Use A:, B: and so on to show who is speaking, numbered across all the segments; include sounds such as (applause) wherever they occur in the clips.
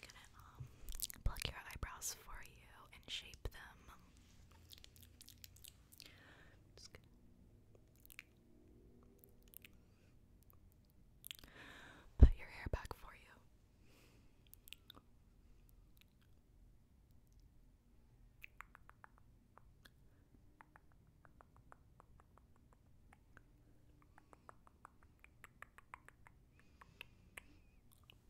A: gonna um, pluck your eyebrows for you and shape them. put your hair back for you.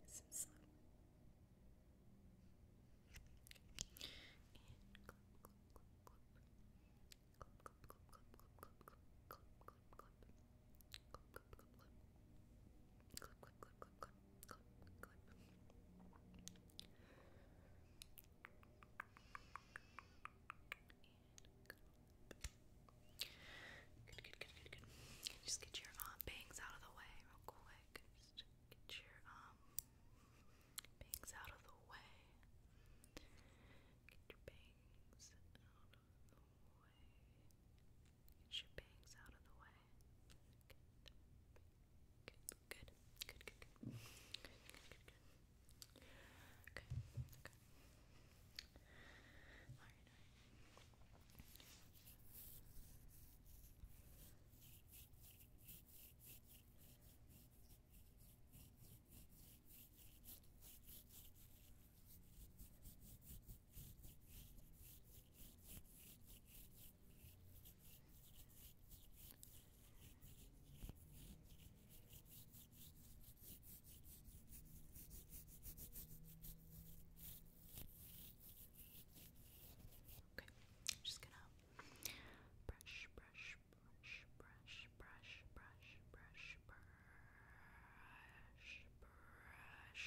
A: This some sun. And clip, clip, clip, clip. Clip, clip, clip, clip, clip, clip, clip, clip, clip, clip, clip, clip, clip, Just get your um, bangs out of the way real quick. get your um, bangs out of the way. Get your bangs out of the way. Get your bangs out of the way. Good, good, good, good, good, good, good, good. Okay, okay. All right, Okay, i just gonna brush, brush, brush, brush, brush, brush, brush, brush, brush, brush,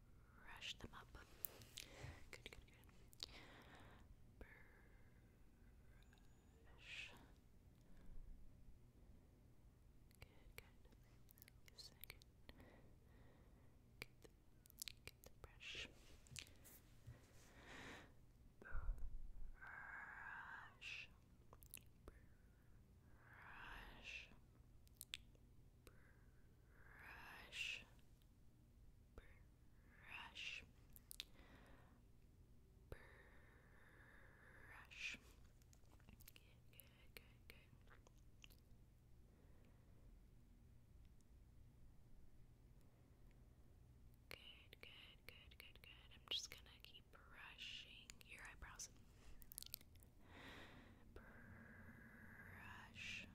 A: brush them up. Good, good, good. Brush. Good, good. Second. Get the, get the brush. Brush. Brush. Brush. Brush brush, brush. Good, good, good, good. Good, good, good, good, good. I'm just gonna keep brushing your eyebrows. Brush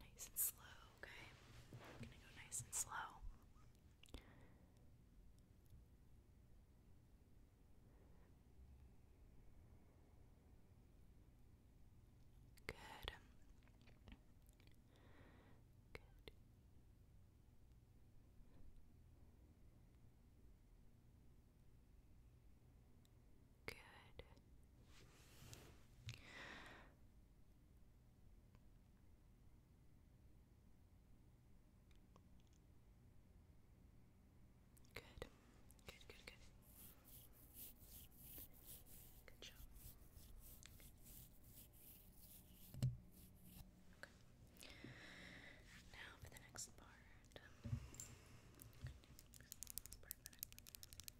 A: Nice and slow, okay? I'm gonna go nice and slow. Good. Good good. Good, good, good, good. Good job. Okay. Now for the next part.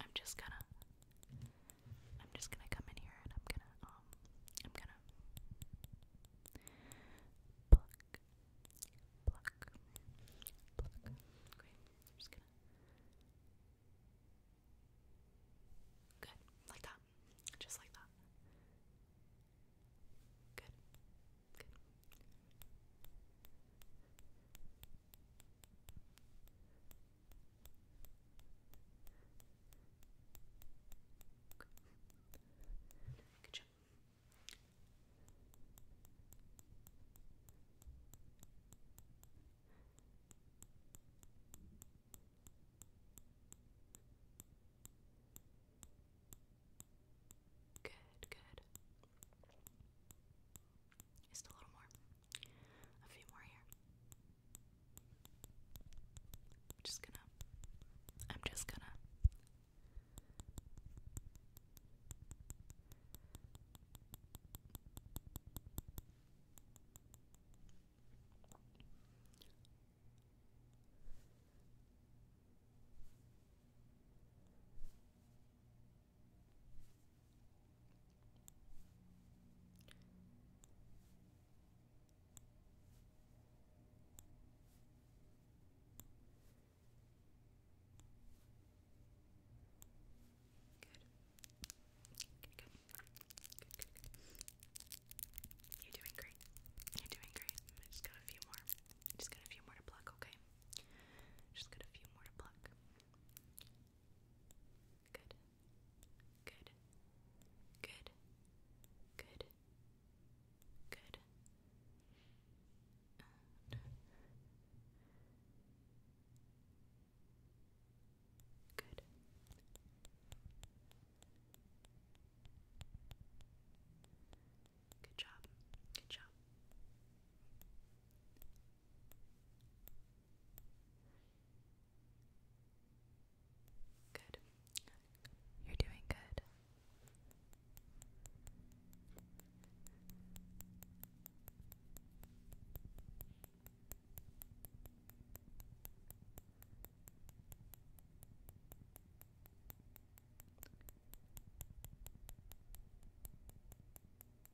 A: I'm just gonna I'm just gonna come in here and I'm gonna um, I'm gonna pluck pluck pluck great just gonna Good. Like that. Just like that. Good. Good. Good job. good. Just a little more. A few more here. I'm just gonna. I'm just gonna. Good. You're doing great. You're doing great. just got a few more. Just got a few more to pluck, okay? Just got a few more to pluck. Good. Good. Good. Good. Good. And Good. Good job. Good job. Good. You're doing good.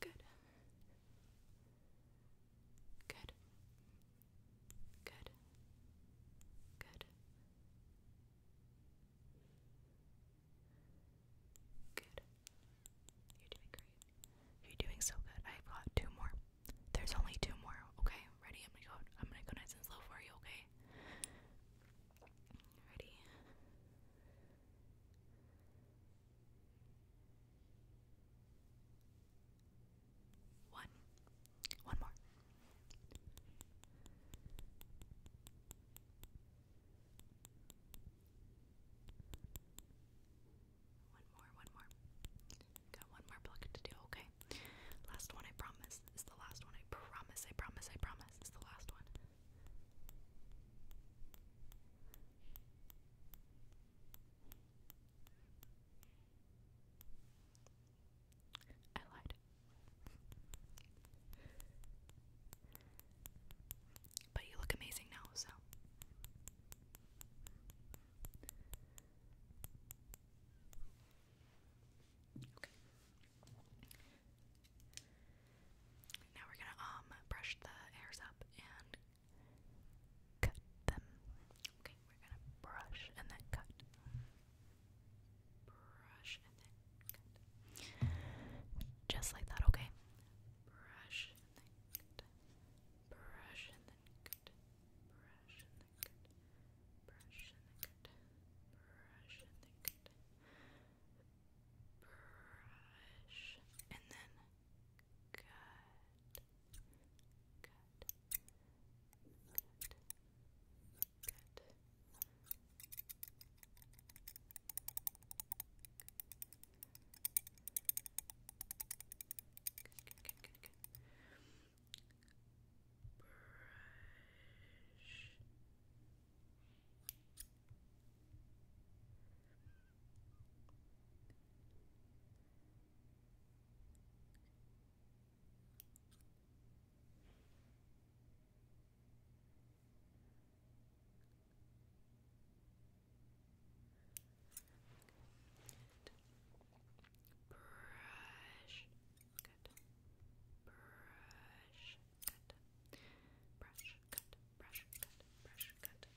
A: Good. Good. Good. Good. Good. You're doing great. You're doing so good. I've got two more. There's only two more. Okay, ready? I'm gonna go. I'm gonna go nice and slow for you. Okay. Ready? One. One more. One more, one more. Got one more plug to do, okay? Last one, I promise. It's the last one. I promise, I promise, I promise. It's the last one. I lied. But you look amazing now, so. Okay. Now we're gonna um brush the hairs up and cut them. Okay, we're gonna brush and then cut. Brush and then cut. Just like that, okay? Brush and then cut. Brush and then cut. Brush and then cut. Brush and then cut. Brush and then cut. Brush and then Good. Good. Good. Good. Brush. Brush. Good. Brush. Cut. Brush. Cut. Brush. Cut. Brush. Cut.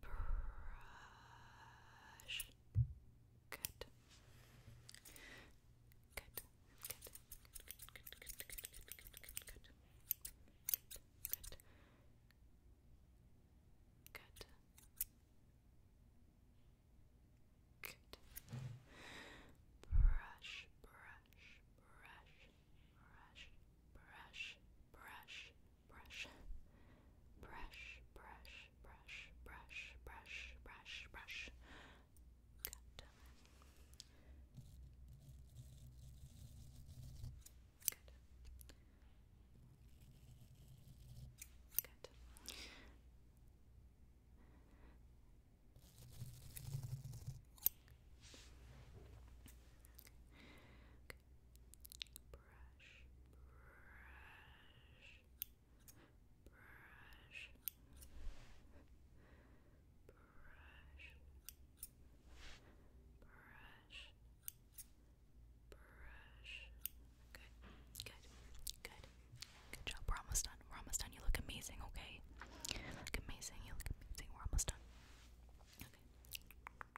A: Brush. Good. Good. Good. Good. Good. Good. Good. Good. Good. Good. Good. Brush, brush, brush, brush, brush, brush, brush, brush, brush, brush, brush, brush, brush, brush. Good. Good. Good. Brush, brush, brush, brush, brush, brush. Good, good, good. Good job. We're almost done. We're almost done. You look amazing. Okay. look amazing. You look amazing. We're almost done.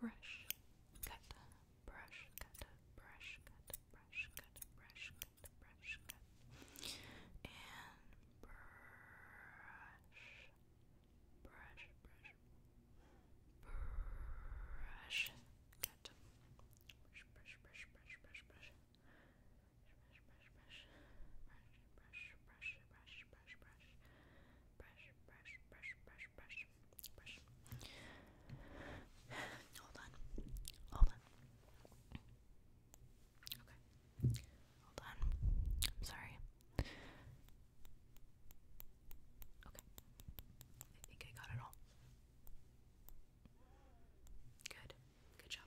A: brush. Good. Brush, cut, brush cut, brush cut, brush cut, brush cut, brush cut, and brush, brush, brush, brush cut, brush, brush, brush, brush, brush, brush. Brush, brush, brush, brush, brush, brush, brush, brush, brush, brush, brush, brush, brush, brush, (sighs) Hold on, hold on. Okay, hold on. sorry. Okay, I think I got it all. Good, good job,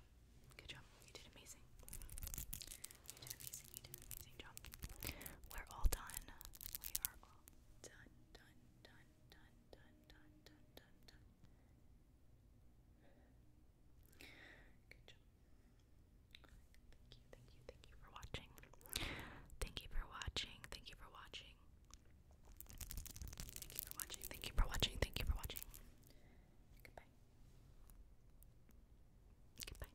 A: good job. You did amazing. You did amazing. You did amazing job. We're all done. We are all done, done, done, done, done done, done, done, done. Good job. Thank you, thank you, thank you for watching. Thank you for watching. Thank you for watching. Thank you for watching. Thank you for watching. Thank you for watching. Goodbye. Goodbye.